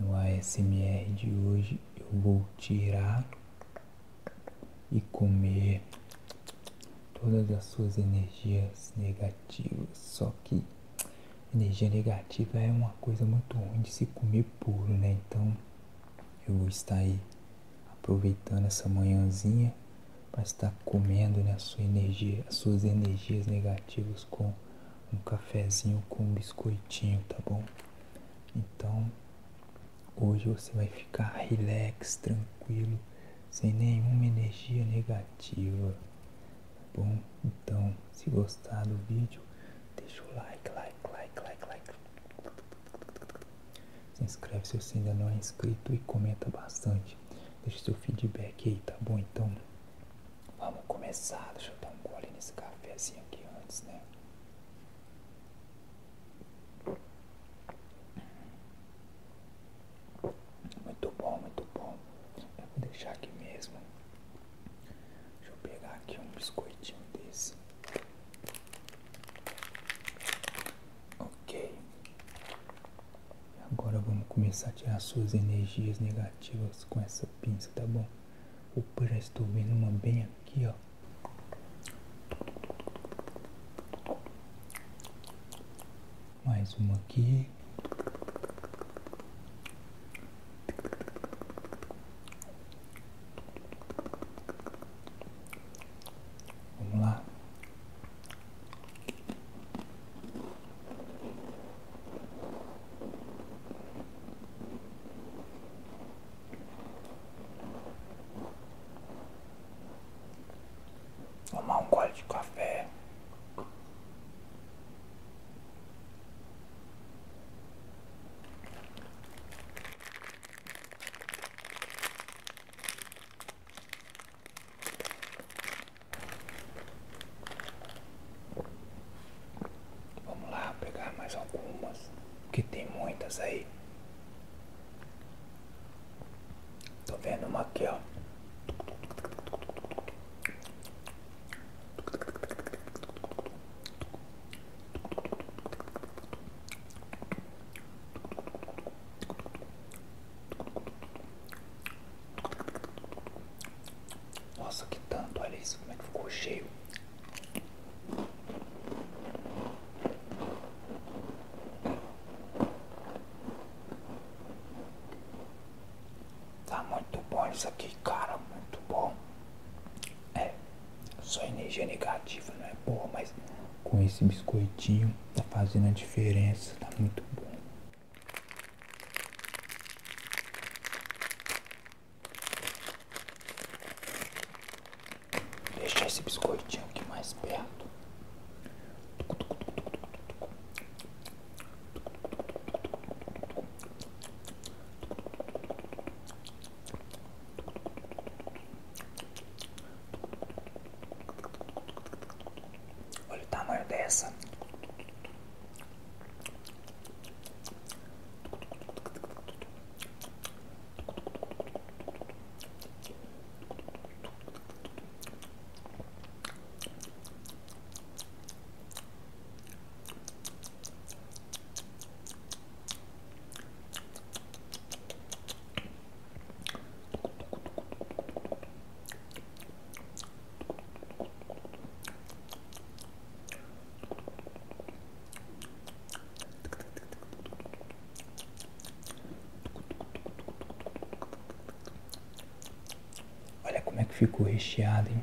No ASMR de hoje eu vou tirar e comer todas as suas energias negativas. Só que energia negativa é uma coisa muito ruim de se comer puro, né? Então eu vou estar aí aproveitando essa manhãzinha para estar tá comendo né, a sua energia, as suas energias negativas com um cafezinho, com um biscoitinho, tá bom? Então, hoje você vai ficar relax, tranquilo, sem nenhuma energia negativa, tá bom? Então, se gostar do vídeo, deixa o like, like, like, like, like. Se inscreve se você ainda não é inscrito e comenta bastante. Deixa seu feedback aí, tá bom? Então, vamos começar. Deixa eu dar um gole nesse cafezinho aqui antes, né? Muito bom, muito bom. vou deixar aqui mesmo. Deixa eu pegar aqui um biscoitinho desse. Ok. Agora vamos começar a tirar suas energias negativas com essa pinça, tá bom? Opa, já estou vendo uma bem aqui, ó. Mais uma aqui. Vamos lá. Tomar um gole de café. Vamos lá pegar mais algumas, que tem muitas aí. Estou vendo uma aqui, ó. Nossa, que tanto, olha isso, como é que ficou cheio. Tá muito bom isso aqui, cara, muito bom. É, só energia negativa não é boa, mas com esse biscoitinho, tá fazendo a diferença, tá muito bom. Deixa esse biscoitinho aqui mais perto. Olha o tamanho dessa. Olha como é que ficou recheado, hein?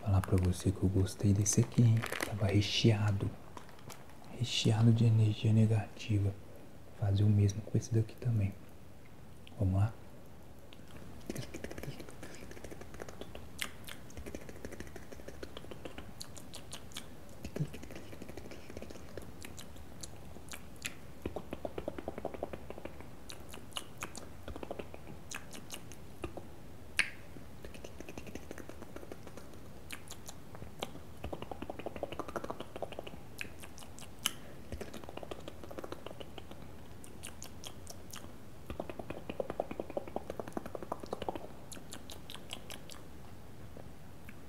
Falar pra você que eu gostei desse aqui, hein? Tava recheado. Recheado de energia negativa. Fazer o mesmo com esse daqui também. Vamos lá?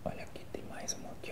Olha aqui, tem mais uma aqui,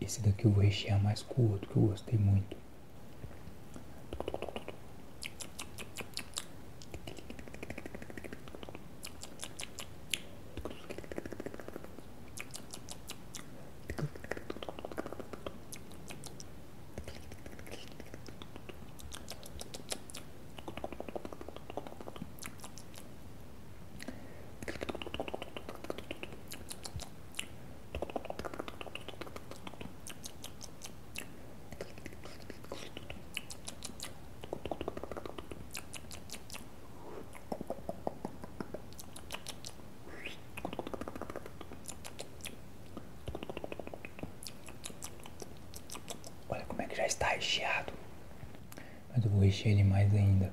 Esse daqui eu vou rechear mais com o outro, que eu gostei muito. Olha como é que já está recheado, mas eu vou rechear ele mais ainda.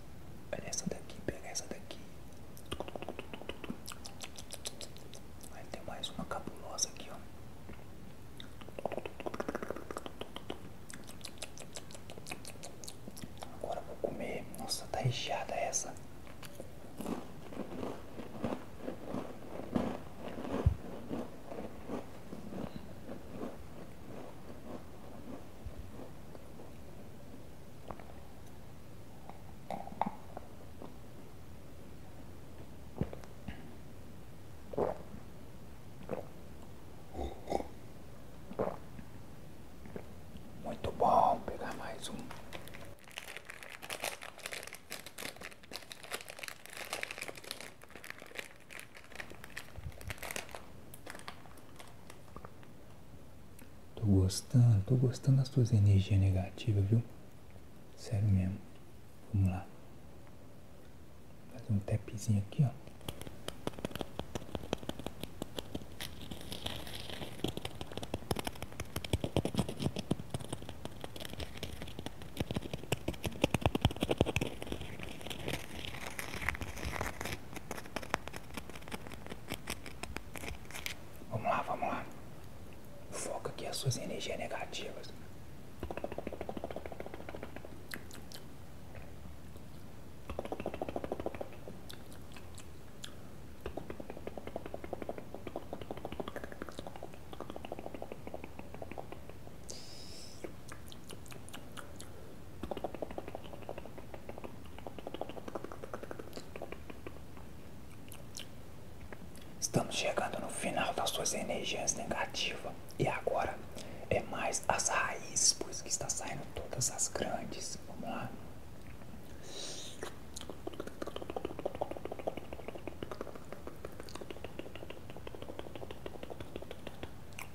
Olha essa daqui, pega essa daqui. Aí tem mais uma cabulosa aqui, ó. Agora vou comer. Nossa, tá recheada essa. Muito bom, pegar mais um. Tô gostando, tô gostando das tuas energias negativas, viu? Sério mesmo. Vamos lá. faz um tapzinho aqui, ó. Vamos lá, vamos lá. Foca aqui as suas energias negativas. Estamos chegando no final das suas energias negativas e agora é mais as raízes, pois que está saindo todas as grandes. Vamos lá.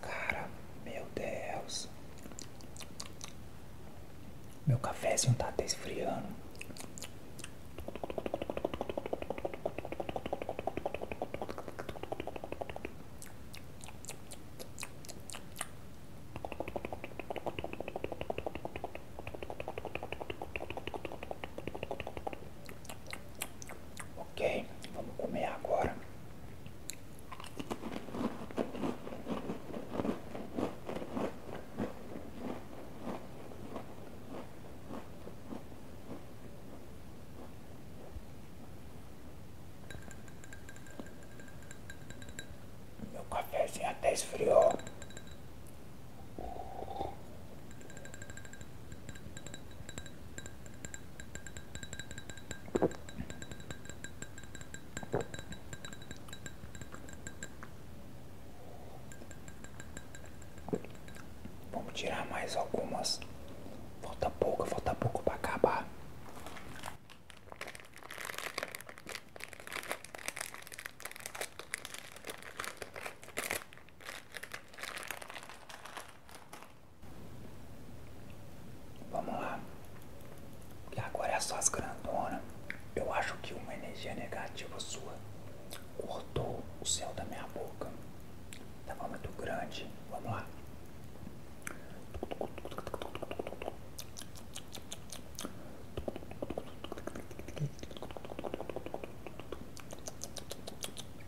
cara, meu Deus. Meu cafezinho tá até esfriando. Ok, vamos comer agora. Meu cafezinho até esfriou. Vamos tirar mais algumas. Falta pouco, falta pouco para acabar. Vamos lá. E agora é só as grandonas. Eu acho que uma energia negativa sua cortou o céu da minha boca. Tava tá muito grande. Vamos lá.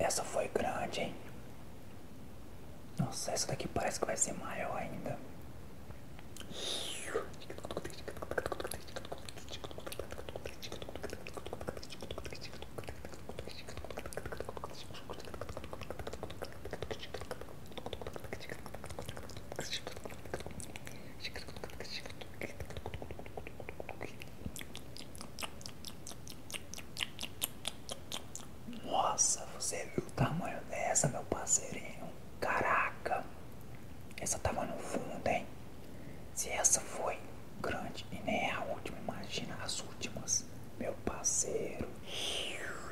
Essa foi grande, hein? Nossa, essa daqui parece que vai ser maior ainda. Nossa, você viu o tamanho dessa, meu parceirinho? Caraca! Essa tava no fundo, hein? Se essa foi grande e nem é a última, imagina as últimas, meu parceiro.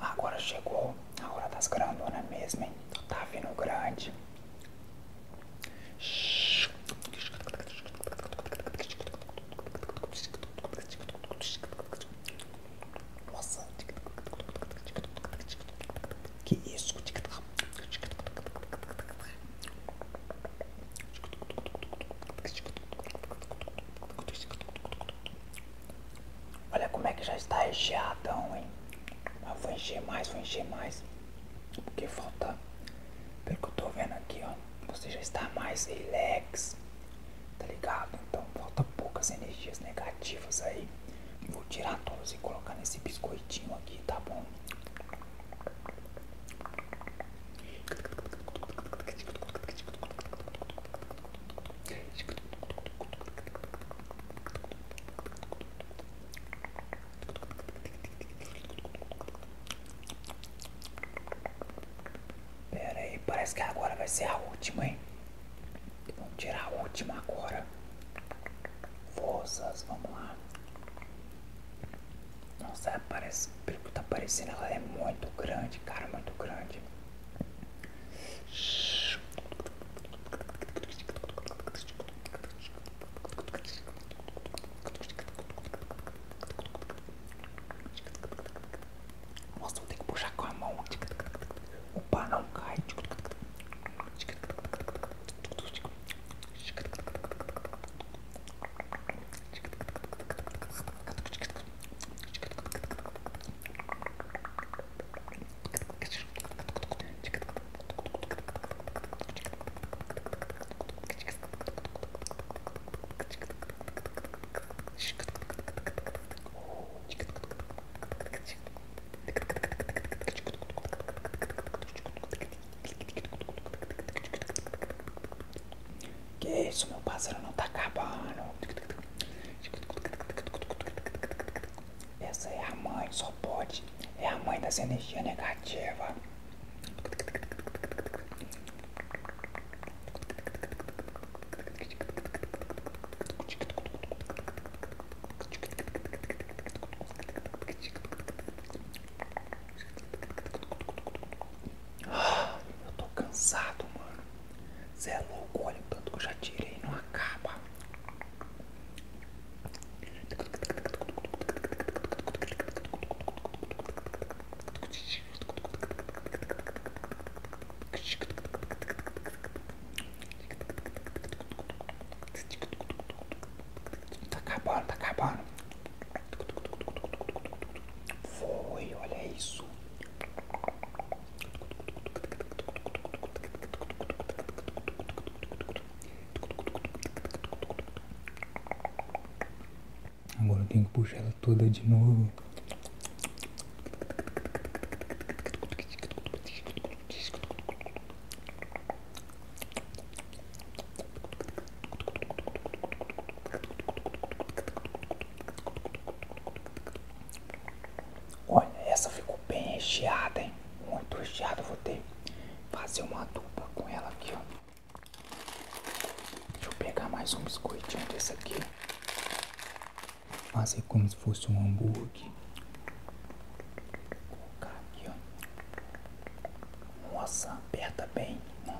Agora chegou a hora das grandonas mesmo, hein? Tá vindo grande. Nossa. Que isso? Olha como é que já está recheadão, hein? Mas ah, vou encher mais, vou encher mais. Porque falta. Pelo que eu estou vendo aqui, ó. Você já está mais relax tá ligado? Então falta poucas energias negativas aí. Vou tirar todas e colocar nesse biscoitinho aqui, tá bom? Pera aí, parece que agora vai ser a última, hein? Vamos tirar a última agora. Forças, vamos lá. Nossa, parece, pelo que tá parecendo, ela é muito grande, cara, muito grande. Nossa, vou ter que puxar com a mão. O pá não cai. Que isso, meu pássaro não está acabando. Essa é a mãe, só pode. É a mãe das energias negativas. Ah, eu tô cansado, mano. Você é louco, olha o tanto que eu já tirei, não acaba. Tá acabando, tá acabando. Foi, olha isso. Agora eu tenho que puxar ela toda de novo. Olha, essa ficou bem recheada, hein? Muito recheada. Vou ter que fazer uma dupla com ela aqui, ó. Deixa eu pegar mais um biscoitinho desse aqui. Fazer como se fosse um hambúrguer. Vou colocar aqui, ó. Nossa, aperta bem. Né?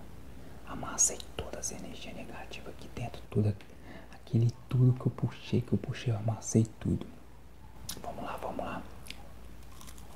Amassei todas as energias negativas aqui dentro. Tudo, aquele tudo que eu puxei, que eu puxei, eu amassei tudo. Vamos lá, vamos lá.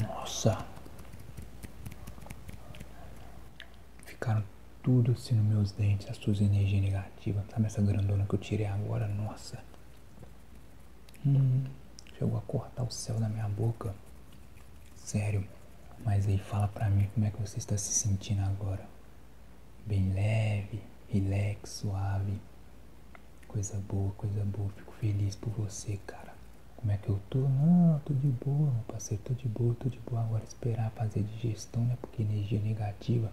Nossa, ficaram tudo assim nos meus dentes, a sua energia negativa Sabe essa grandona que eu tirei agora? Nossa! Hum, chegou a cortar o céu da minha boca. Sério. Mas aí fala pra mim como é que você está se sentindo agora. Bem leve, relax, suave. Coisa boa, coisa boa. Fico feliz por você, cara. Como é que eu tô? Não, tô de boa, meu parceiro. Tô de boa, tô de boa. Agora esperar fazer digestão, né? Porque energia negativa